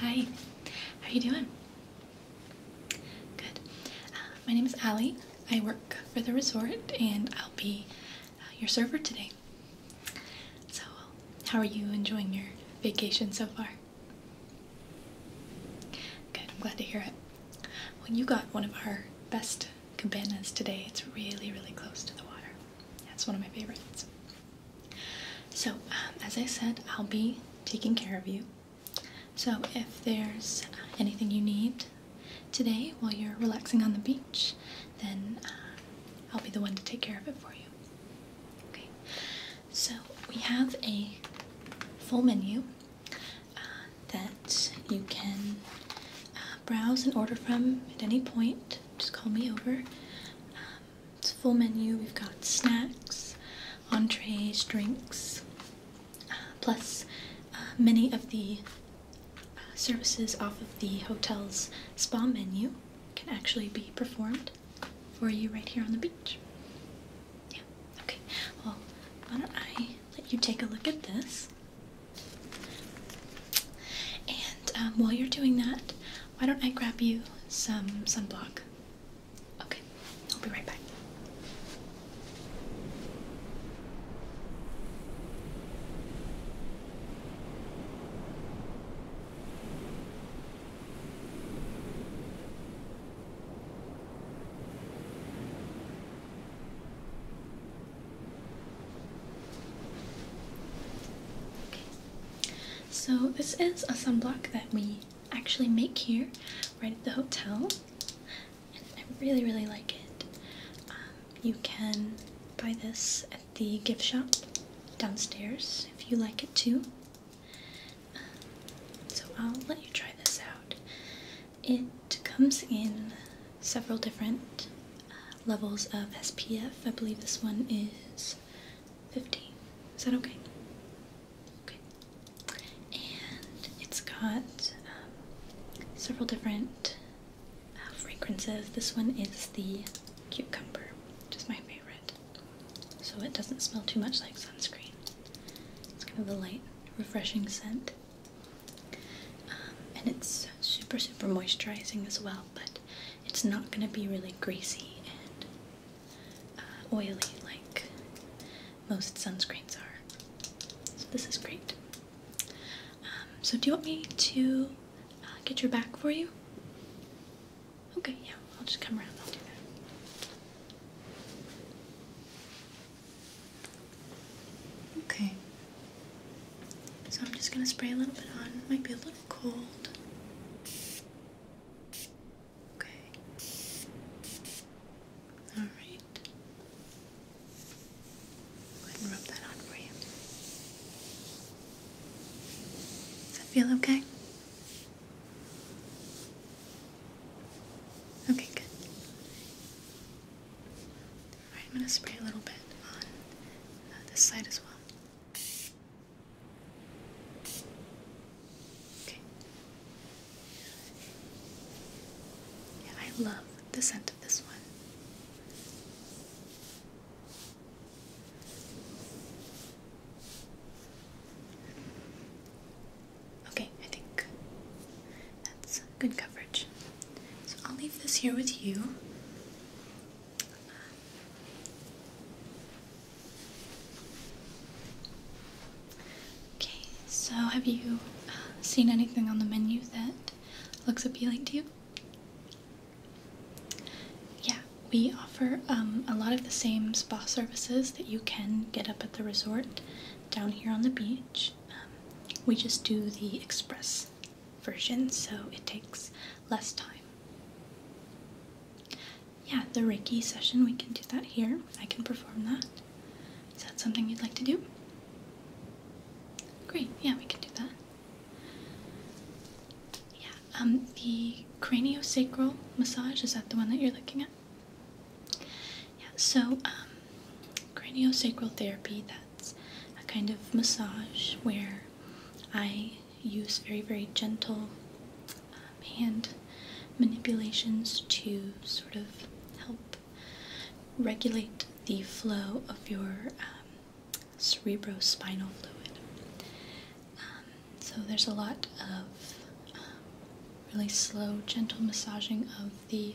Hi, how are you doing? Good. Uh, my name is Ali. I work for the resort and I'll be uh, your server today. So, how are you enjoying your vacation so far? Good, I'm glad to hear it. Well, you got one of our best cabanas today. It's really, really close to the water. That's one of my favorites. So, um, as I said, I'll be taking care of you. So, if there's anything you need, today while you're relaxing on the beach, then uh, I'll be the one to take care of it for you. Okay, so we have a full menu uh, that you can uh, browse and order from at any point. Just call me over. Um, it's a full menu. We've got snacks, entrees, drinks, plus many of the services off of the hotel's spa menu can actually be performed for you right here on the beach. Yeah, okay. Well, why don't I let you take a look at this? And um, while you're doing that, why don't I grab you some sunblock? Okay, I'll be right back. So this is a sunblock that we actually make here right at the hotel. I really, really like it. Um, you can buy this at the gift shop downstairs if you like it too. Um, so I'll let you try this out. It comes in several different uh, levels of SPF. I believe this one is 15. Is that okay? Okay. And it's got um, several different fragrances. This one is the cucumber, which is my favorite. So it doesn't smell too much like sunscreen. It's kind of a light, refreshing scent. Um, and it's super, super moisturizing as well, but it's not going to be really greasy and uh, oily like most sunscreens are. So this is great. Um, so do you want me to uh, get your back for you? Okay, yeah, I'll just come around. I'll do that. Okay. So I'm just gonna spray a little bit on. It might be a little cold. Okay. All right. Go ahead and rub that on for you. Does that feel okay? Okay, good. Alright, I'm going to spray a little bit on uh, this side as well. Okay. Yeah, I love the scent this one. Okay, I think that's good coverage. So I'll leave this here with you. Okay, so have you uh, seen anything on the menu that looks appealing to you? Yeah, we offer um, a lot of the same spa services that you can get up at the resort down here on the beach. Um, we just do the express version, so it takes less time. Yeah, the Riki session, we can do that here. I can perform that. Is that something you'd like to do? Great, yeah, we can do that. Yeah, um, the craniosacral massage, is that the one that you're looking at? Yeah, so um, craniosacral therapy, that's a kind of massage where I use very, very gentle um, hand manipulations to sort of help regulate the flow of your um, cerebrospinal fluid. Um, so there's a lot of um, really slow, gentle massaging of the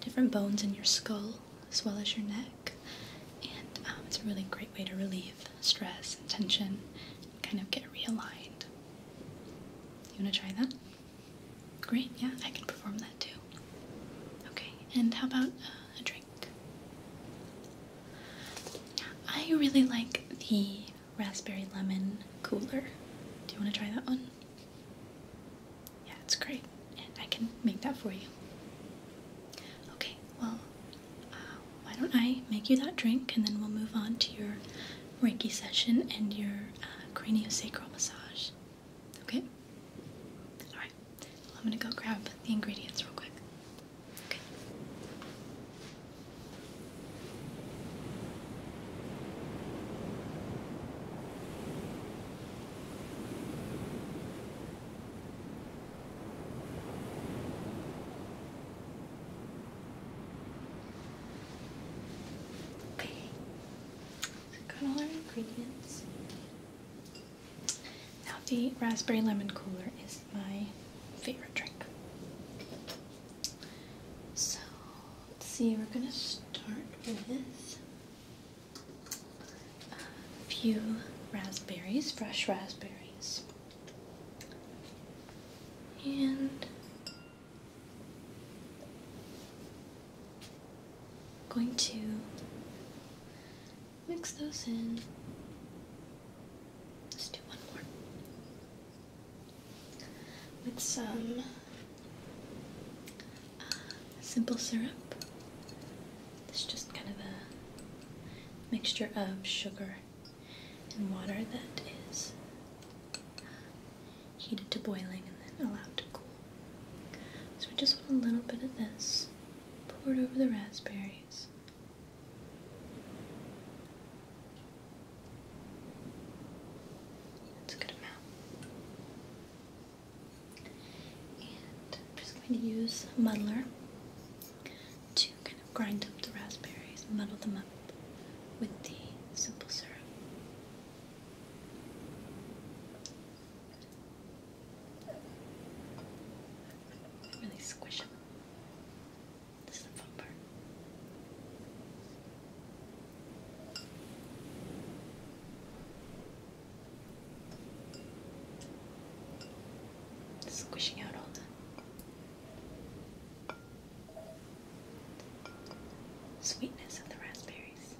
different bones in your skull as well as your neck, and it's a really great way to relieve stress and tension, and kind of get realigned. You want to try that? Great, yeah, I can perform that too. Okay, and how about uh, a drink? I really like the raspberry lemon cooler. Do you want to try that one? Yeah, it's great, I can make that for you. Okay, well, uh, why don't I make you that drink and then we'll move on to your Reiki session and your uh, craniosacral massage. Okay? Alright. I'm gonna go grab the ingredients real quick. Okay got all our ingredients. Now the raspberry lemon cooler is my favorite drink. So let's see, we're gonna start with a few raspberries, fresh raspberries. And going to mix those in. let do one more with some uh, simple syrup. It's just kind of a mixture of sugar and water that is heated to boiling and then allowed to cool. So we just want a little bit of this poured over the raspberries. That's a good amount. And I'm just going to use a muddler to kind of grind up the raspberries muddle them up with the simple syrup. Really squish them. This is the fun part. Squishing out all the sweetness of the raspberries.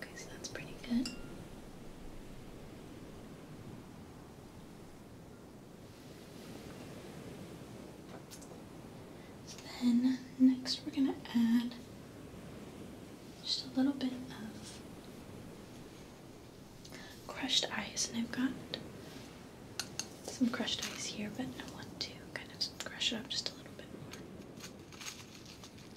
Okay, so that's pretty good. So then next we're going to add just a little bit of crushed ice, and I've got some crushed ice here, but I want to kind of crush it up just a little bit more. I'm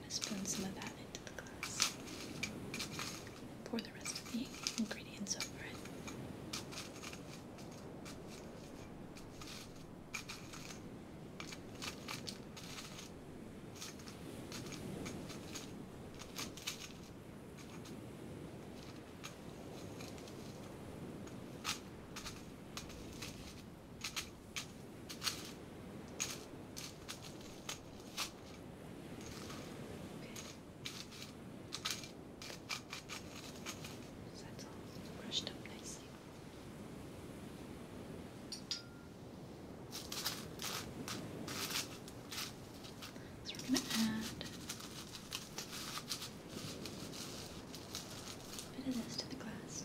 going to spoon some of that into the glass. Pour the rest of the ingredients over it. So that's all brushed up nicely. Okay. So we're going to add a bit of this to the glass.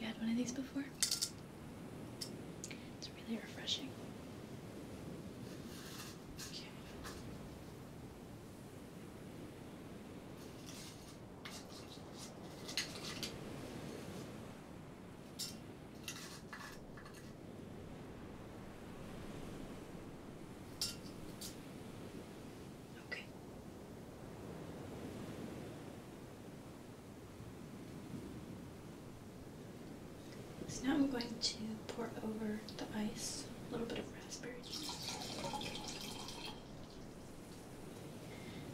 You had one of these before? It's really refreshing. Okay. So now I'm going to pour over the ice a little bit of raspberry juice.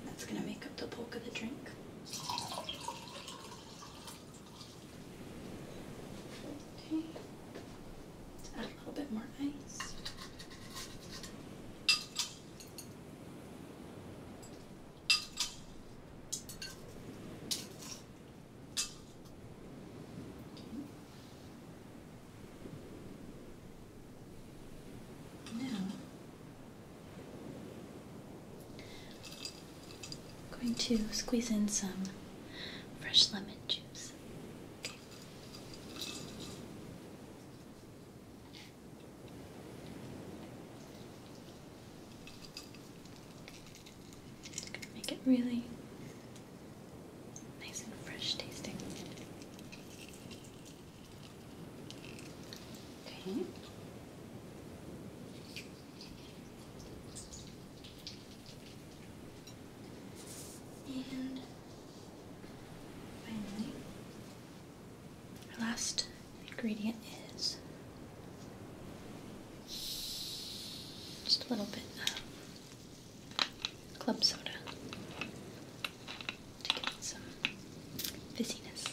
That's going to make up the bulk of the drink. Okay. add a little bit more ice. Now I'm going to squeeze in some fresh lemon juice. make it really nice and fresh tasting. Okay. And finally, our last ingredient is just a little bit club soda to get some fizziness.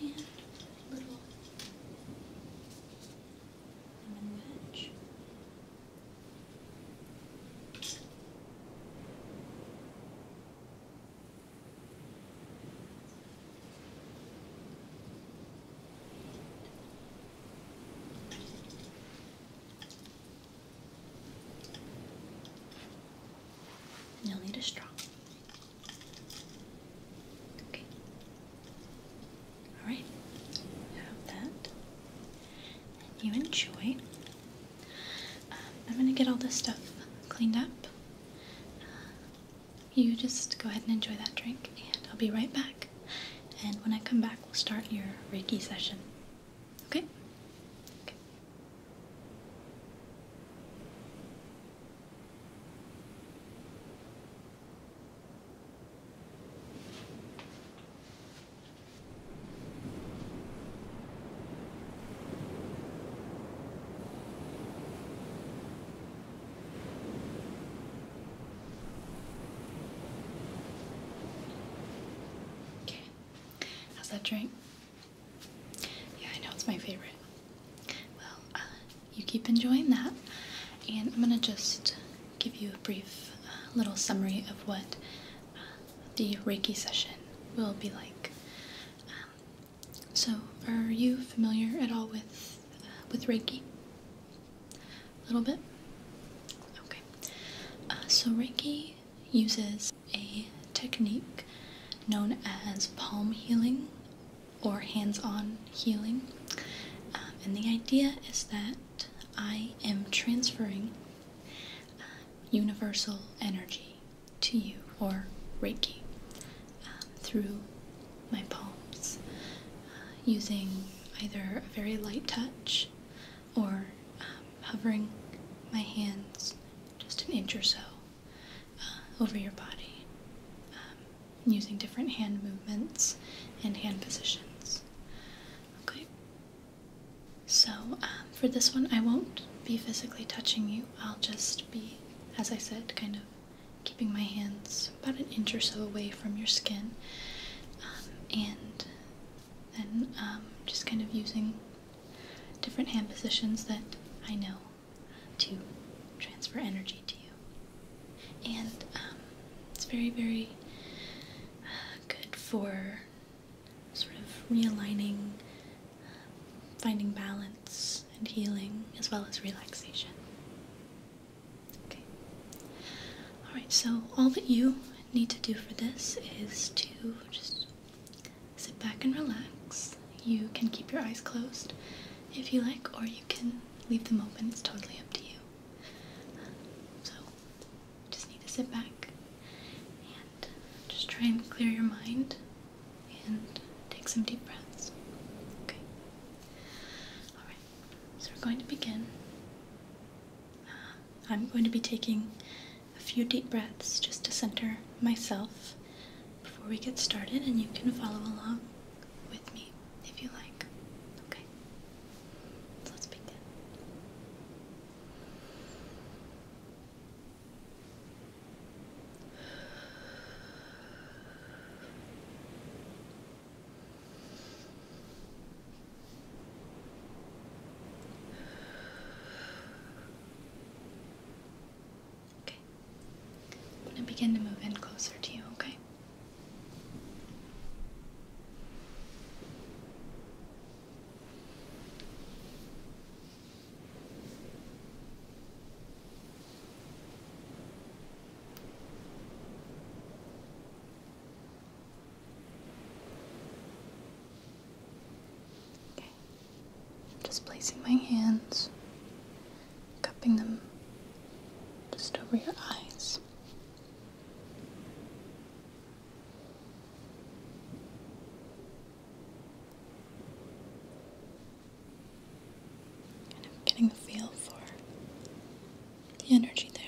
And a little lemon wedge. You'll need a straw. Okay. Alright, have that. you enjoy. Um, I'm gonna get all this stuff cleaned up. Uh, you just go ahead and enjoy that drink, and I'll be right back. And when I come back, we'll start your Reiki session. Okay. Okay, how's that drink? Yeah, I know it's my favorite. Well, uh, you keep enjoying that, and I'm gonna just give you a brief uh, little summary of what uh, the Reiki session will be like. Um, so, are you familiar at all with with Reiki? A little bit. Okay. so Reiki uses a technique known as palm healing or hands on healing. Um, and the idea is that I am transferring um, universal energy to you or Reiki um, through my palms uh, using either a very light touch or hovering my hands just an inch or so uh, over your body um, using different hand movements and hand positions. Okay. So, um, for this one, I won't be physically touching you. I'll just be, as I said, kind of keeping my hands about an inch or so away from your skin. Um, and then just kind of using different hand positions that I know to transfer energy to you. And um, it's very, very uh, good for sort of realigning, um, finding balance and healing, as well as relaxation. Okay. Alright, so all that you need to do for this is to just sit back and relax. You can keep your eyes closed if you like, or you can leave them open. It's totally up to you. So, just need to sit back and just try and clear your mind and take some deep breaths. Okay? Alright, so we're going to begin. Uh, I'm going to be taking a few deep breaths just to center myself before we get started, and you can follow along with me if you like. Okay? So let's begin. I'm going to begin to move in closer to you, Okay. Just placing my hands, cupping them just over your eyes. Kind of getting the feel for the energy there.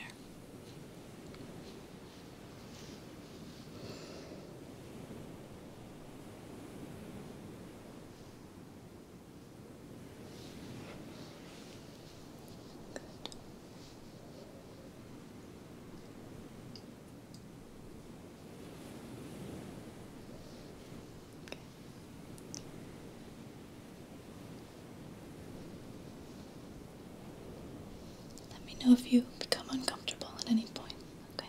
Let me know if you become uncomfortable at any point, okay?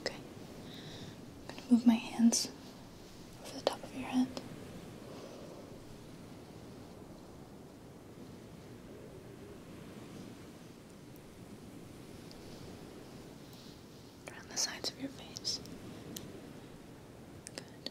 Okay. I'm going to move my hands over the top of your head. Around the sides of your face. Good.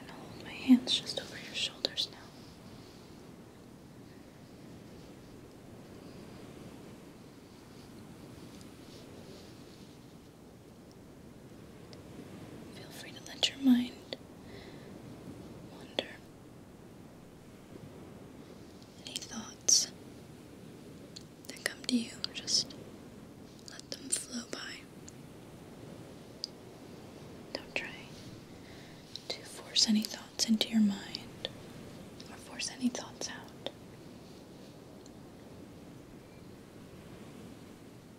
I'm gonna hold my hands just over your shoulders now. Feel free to let your mind wander. Any thoughts that come to you, just let them flow by. Don't try to force any thoughts into your mind or force any thoughts out.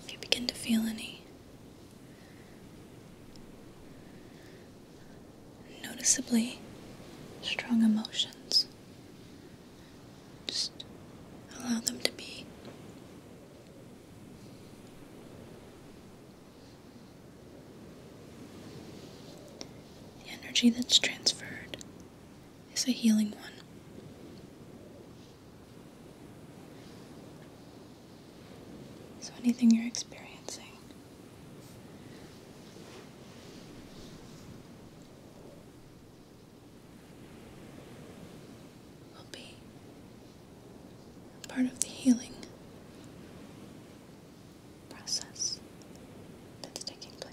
If you begin to feel any noticeably strong emotions just allow them to be. The energy that's transferred is a healing one. So, anything you're experiencing will be part of the healing process that's taking place.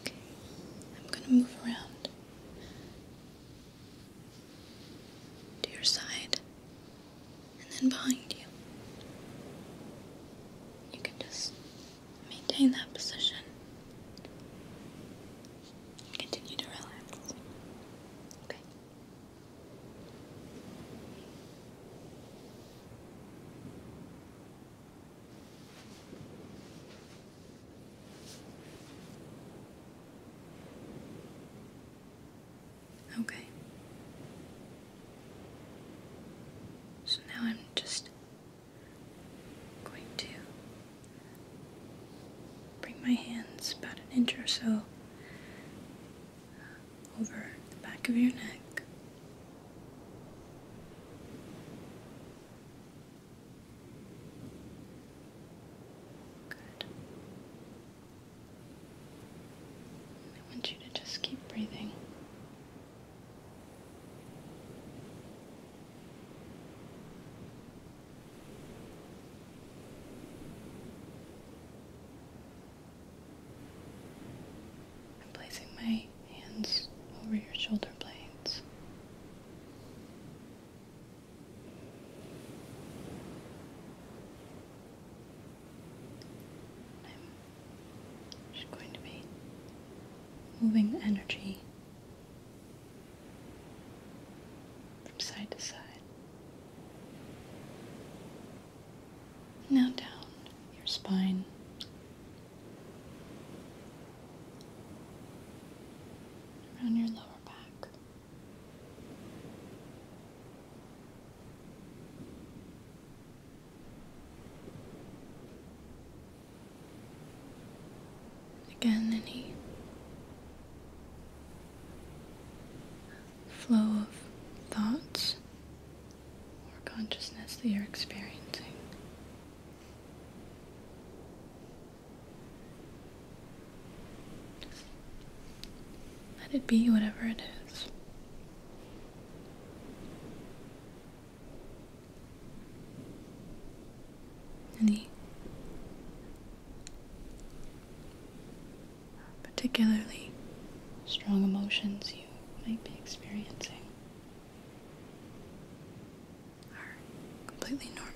Okay, I'm going to move around to your side and then behind you. You can just maintain that position. Continue to relax. Okay. Okay. So now I'm just going to bring my hands about an inch or so over the back of your neck. I want you to just keep breathing. I'm placing my hands over your shoulder blades. I'm just going to be moving energy from side to side. Now down your spine around your lower back. Again, any flow of thoughts or consciousness that you're experiencing. Let it be whatever it is. And particularly strong emotions you might be experiencing are completely normal.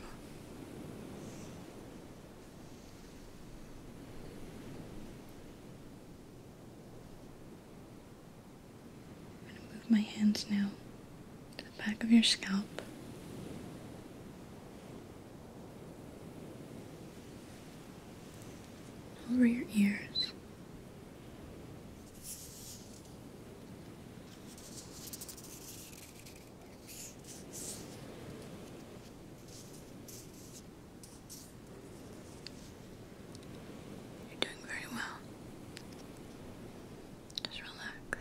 I'm going to move my hands now to the back of your scalp. Over your ears, you're doing very well. Just relax. Good.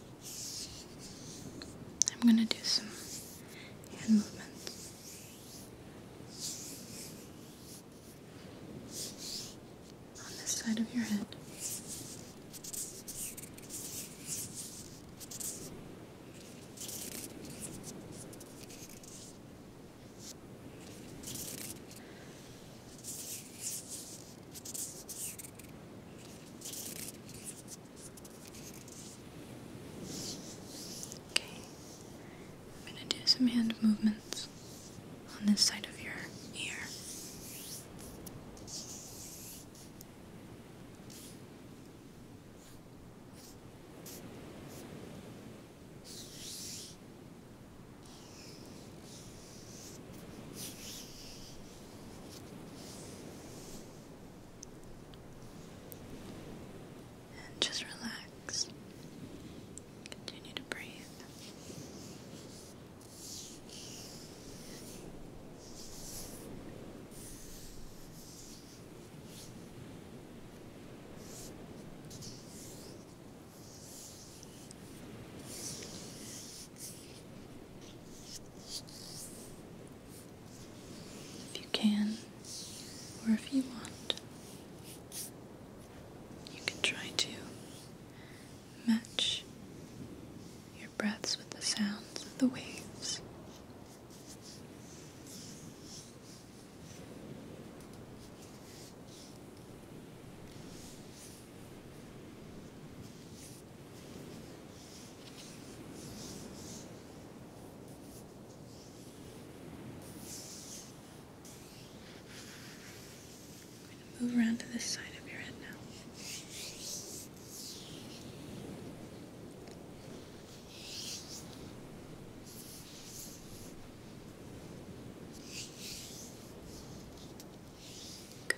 I'm going to do some hand movements on this side of your head. Okay, I'm going to do some hand movements on this side of your ear. And just relax. Continue to breathe. If you can, or if you want, you can try to match your breaths with the sounds of the waves. I'm going to move around to this side of your head now. Good.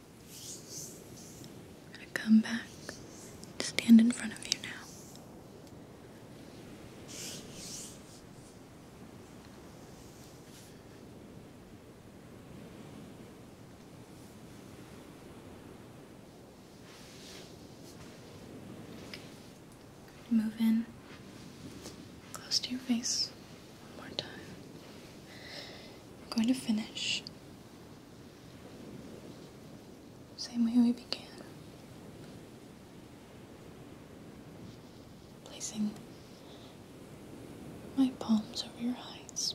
i come back to stand in front of you now. Move in close to your face. One more time. I'm going to finish same way we began. Placing my palms over your eyes.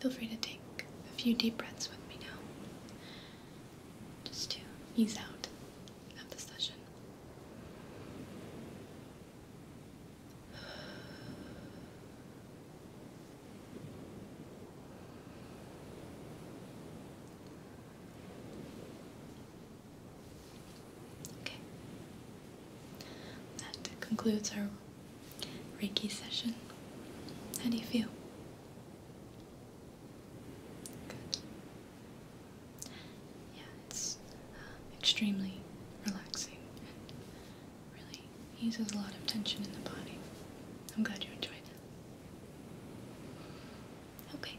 Feel free to take a few deep breaths with me now just to ease out of the session. Okay. That concludes our Reiki session. How do you feel? Yeah, it's um, extremely relaxing really eases a lot of tension in the body. I'm glad you enjoyed that. Okay.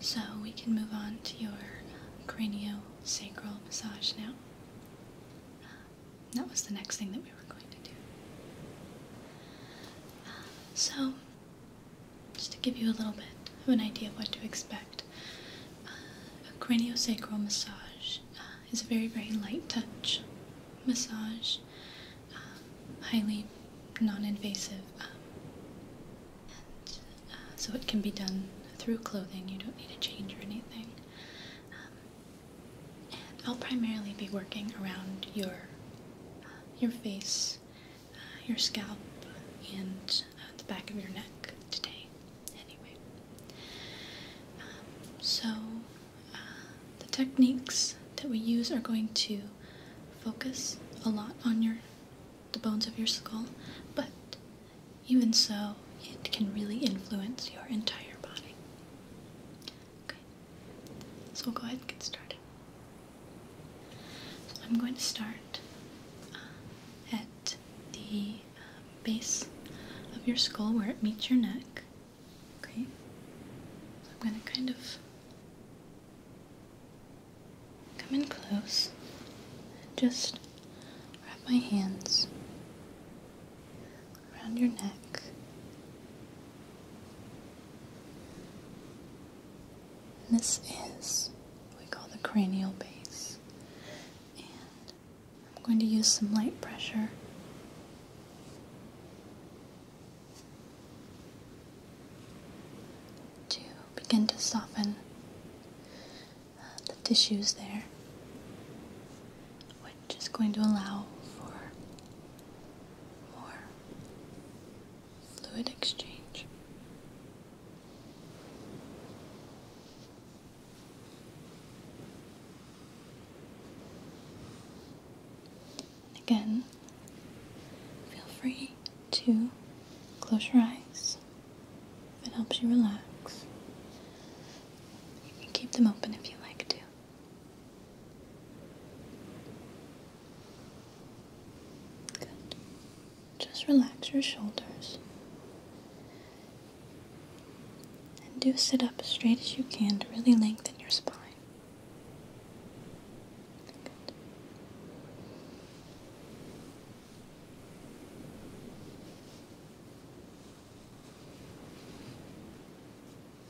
So we can move on to your um, craniosacral massage now. Uh, that was the next thing that we um, so, just to give you a little bit of an idea of what to expect, uh, a craniosacral massage uh, is a very, very light touch massage, uh, highly non invasive. Um, and, so, it can be done through clothing, you don't need to change or anything. Um, I'll primarily be working around your your face, uh, your scalp, and uh, the back of your neck today, anyway. Um, so, uh, the techniques that we use are going to focus a lot on your the bones of your skull, but even so, it can really influence your entire body. Okay, so we'll go ahead and get started. I'm going to start uh, at the uh, base of your skull where it meets your neck. Okay, I'm going to kind of come in close and just wrap my hands around your neck. And this is what we call the cranial base. And I'm going to use some light pressure. To begin to soften uh, the tissues there, which is going to allow for more fluid exchange. Again, feel free to close your eyes it helps you relax. You can keep them open if you like to. Just relax your shoulders. And do sit up as straight as you can to really lengthen your spine.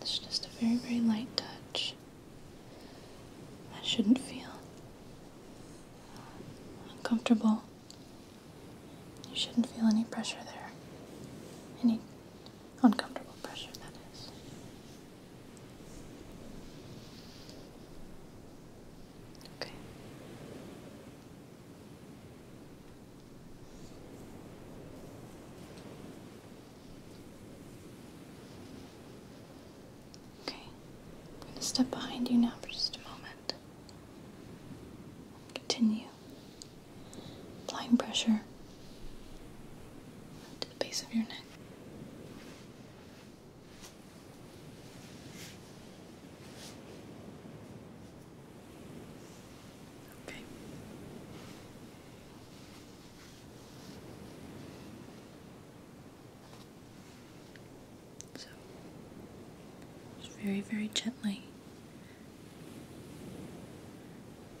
It's just a very, very light touch. That shouldn't feel uncomfortable. You shouldn't feel any pressure there. Any uncomfortable pressure, that is. Okay. Okay, I'm going to step behind you now for just a moment. Continue applying pressure to the base of your neck. Okay. So, very, very gently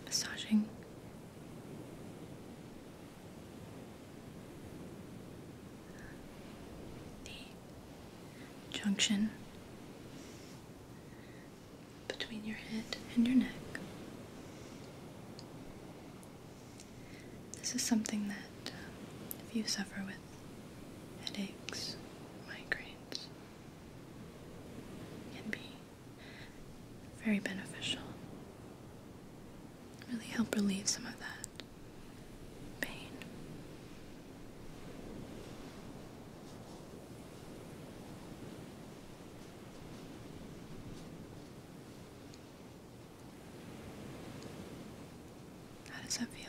massaging the junction between your head and your neck. This is something that uh, if you suffer with headaches, migraines, can be very beneficial. Really help relieve some of that pain. How does that feel?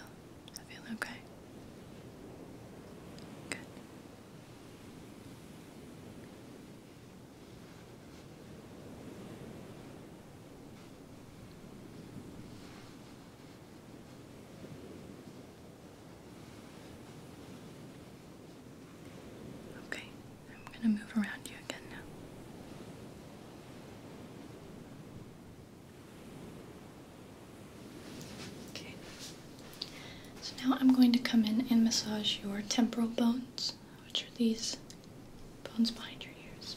Does feel okay? Good. Okay, I'm going to move around you again now. Okay, so now I'm going to come in and massage your temporal bones, which are these bones behind your ears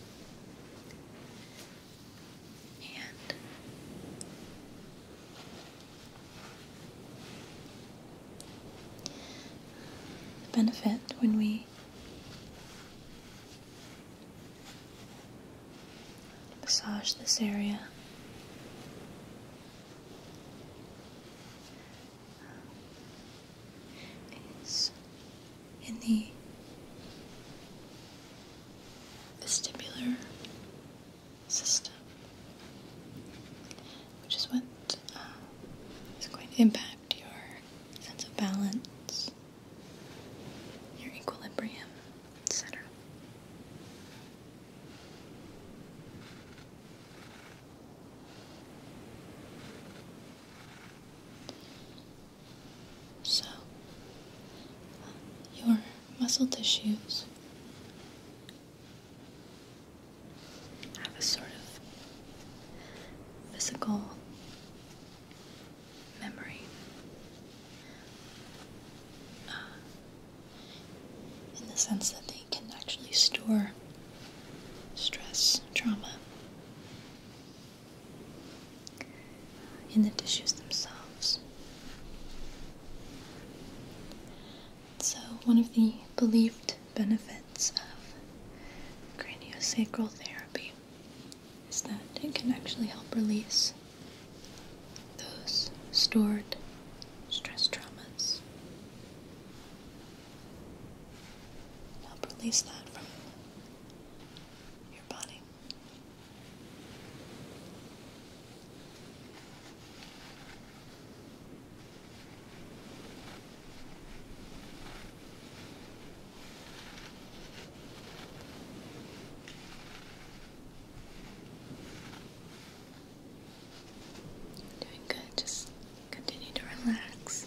the benefit when we massage this area. Is in the vestibular system, which is what uh, going to impact your sense of balance, your equilibrium, etc. So, um, your muscle tissues have a sort of physical memory. Uh, in the sense that they can actually store stress, trauma, in the tissues themselves. So, one of the believed benefits of craniosacral therapy is that it can actually help release those stored stress traumas. Help release that from your body. Doing good, just continue to relax.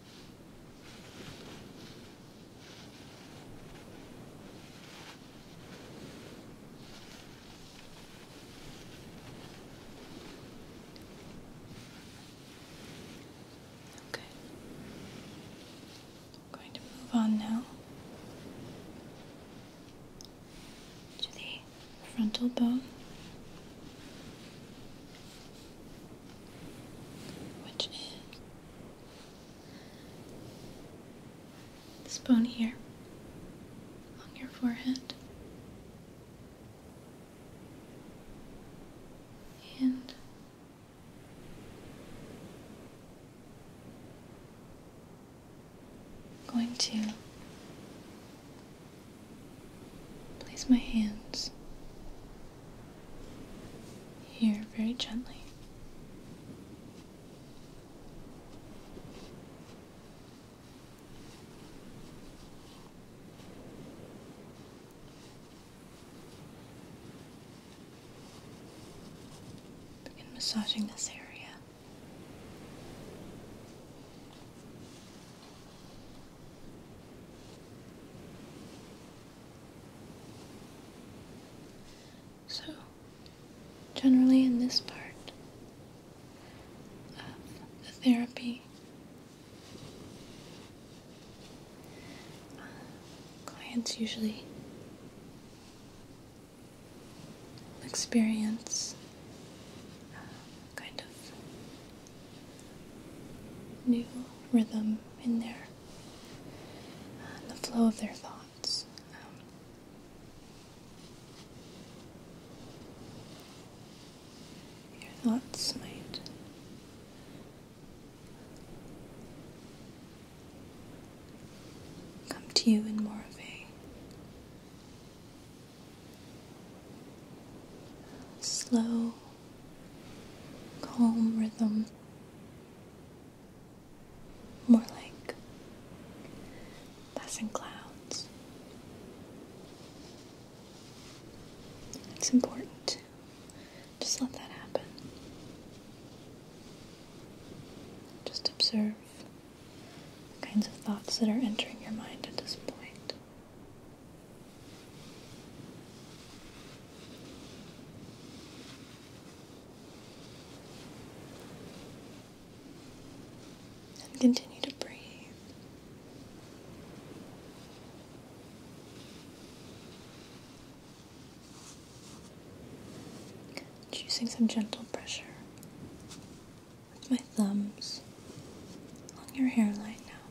Okay. I'm going to move on now to the frontal bone, which is this bone here on your forehead. And I'm going to place my hands here very gently. Begin massaging this area. So, generally, in this part of the therapy, uh, clients usually experience uh, kind of new rhythm in there the flow of their thoughts. Um, your thoughts might come to you in more of a slow calm rhythm. More like passing clouds. It's important to just let that happen. Just observe the kinds of thoughts that are entering your mind at this point. And continue to breathe. Choosing some gentle pressure with my thumbs along your hairline now.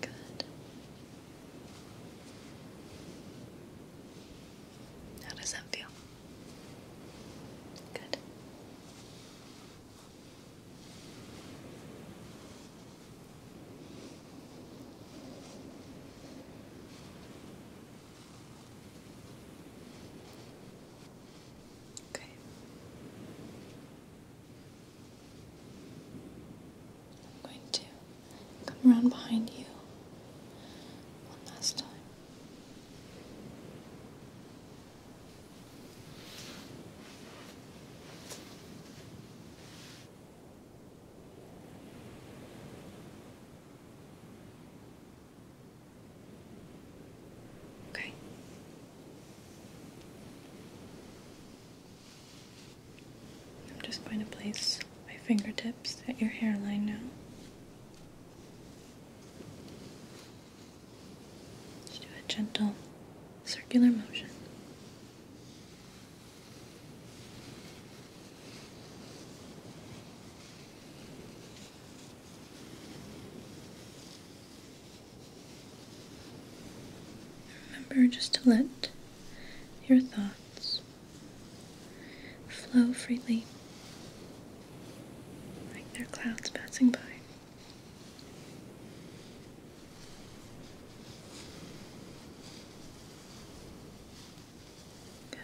Good. How does that feel? Good. Okay. I'm going to come around behind you one last time. Okay. I'm just going to place my fingertips at your hairline now. Just do a gentle circular motion. Remember just to let your thoughts flow freely like they clouds passing by. Good.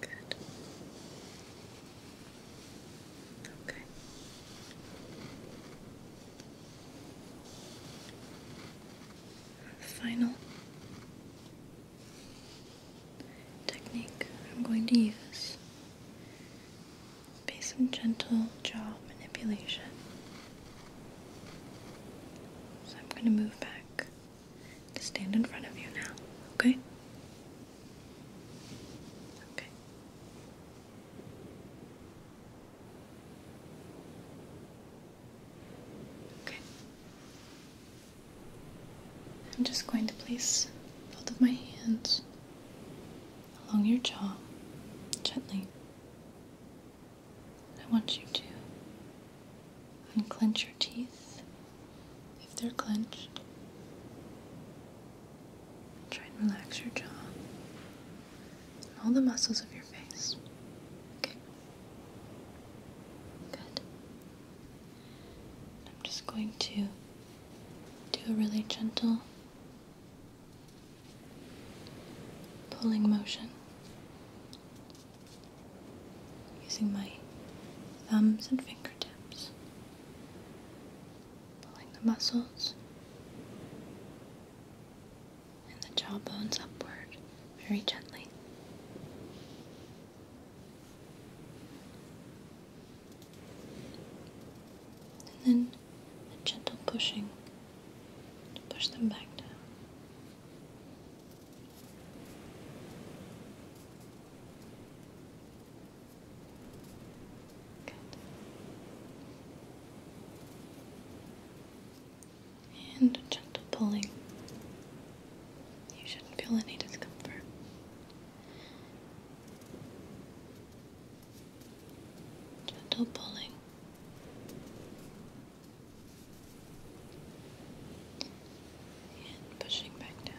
Good. Okay. Final technique I'm going to use will be some gentle jaw manipulation. So I'm going to move back to stand in front of you now, okay? Okay. Okay. I'm just going to place both of my hands along your jaw gently. I want you to unclench your teeth if they're clenched. Try and relax your jaw and all the muscles of your face. Okay. Good. I'm just going to do a really gentle pulling motion using my thumbs and fingertips, pulling the muscles and the jawbones upward very gently. And then a gentle pushing to push them back down. Good. And a gentle pulling you shouldn't feel any discomfort. Gentle pulling. And pushing back down.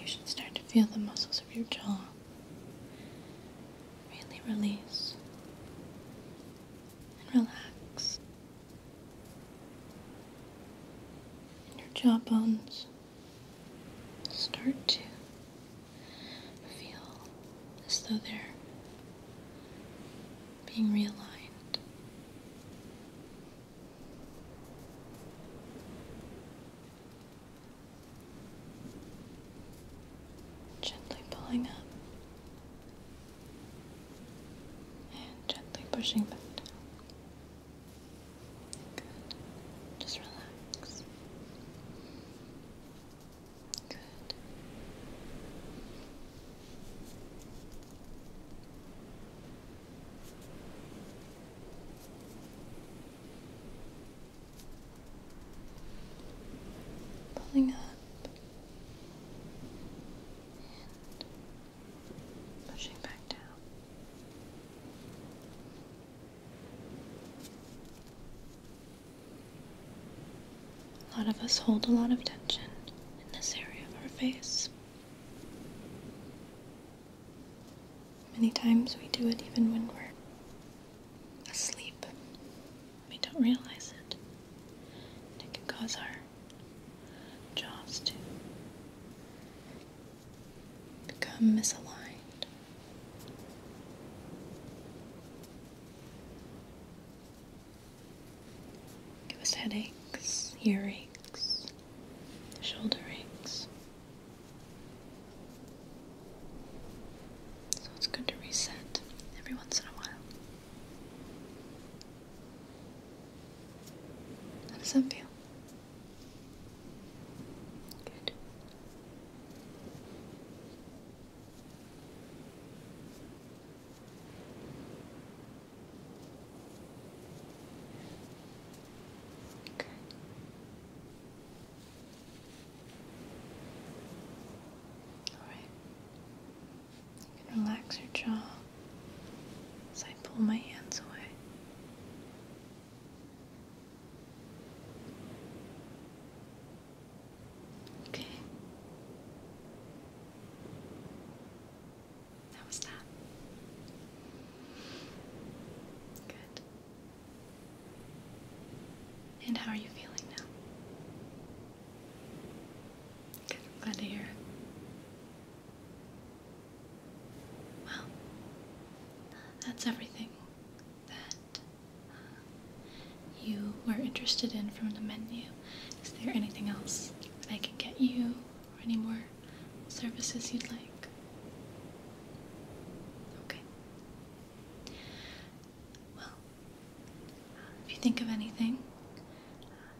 You should start to feel the muscles of your jaw really release and relax. And your jaw bones start to feel as though they're being realigned. Gently pulling up and gently pushing back Good. Just relax. Good. Pulling up pushing back down. A lot of us hold a lot of tension in this area of our face. Many times we do it even when we're asleep. We don't realize it. And it can cause our jaws to become misaligned. Give us headaches, ear aches, shoulder aches. So it's good to reset every once in a while. How does that feel? Good. All right. You can relax your jaw as I pull my hands away. Okay. How was that? Good. And how are you feeling now? Good, glad to hear Well, that's everything that uh, you were interested in from the menu. Is there anything else that I can get you or any more services you'd like? Okay. Well, if you think of anything,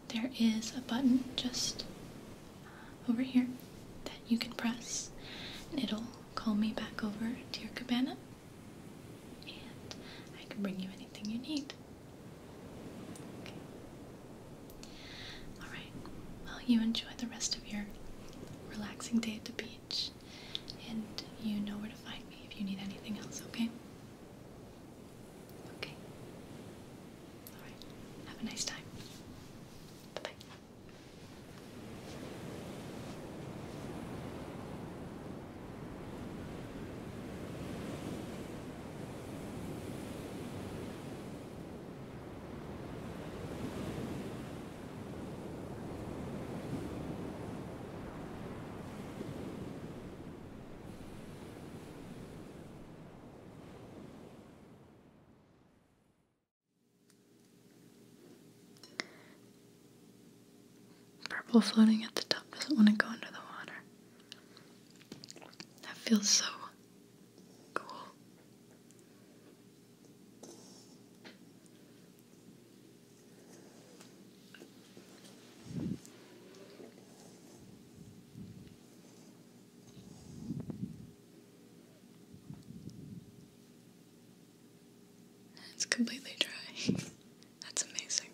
there is a button just uh, over here that you can press and it'll call me back over to your cabana and I can bring you anything you need. Alright, well, you enjoy the rest of your relaxing day at the beach, and you know where to find me if you need anything else, okay? Okay. Alright, have a nice time. Bye bye. Purple floating at the top doesn't want to go under the water. That feels so cool. It's completely dry. That's amazing.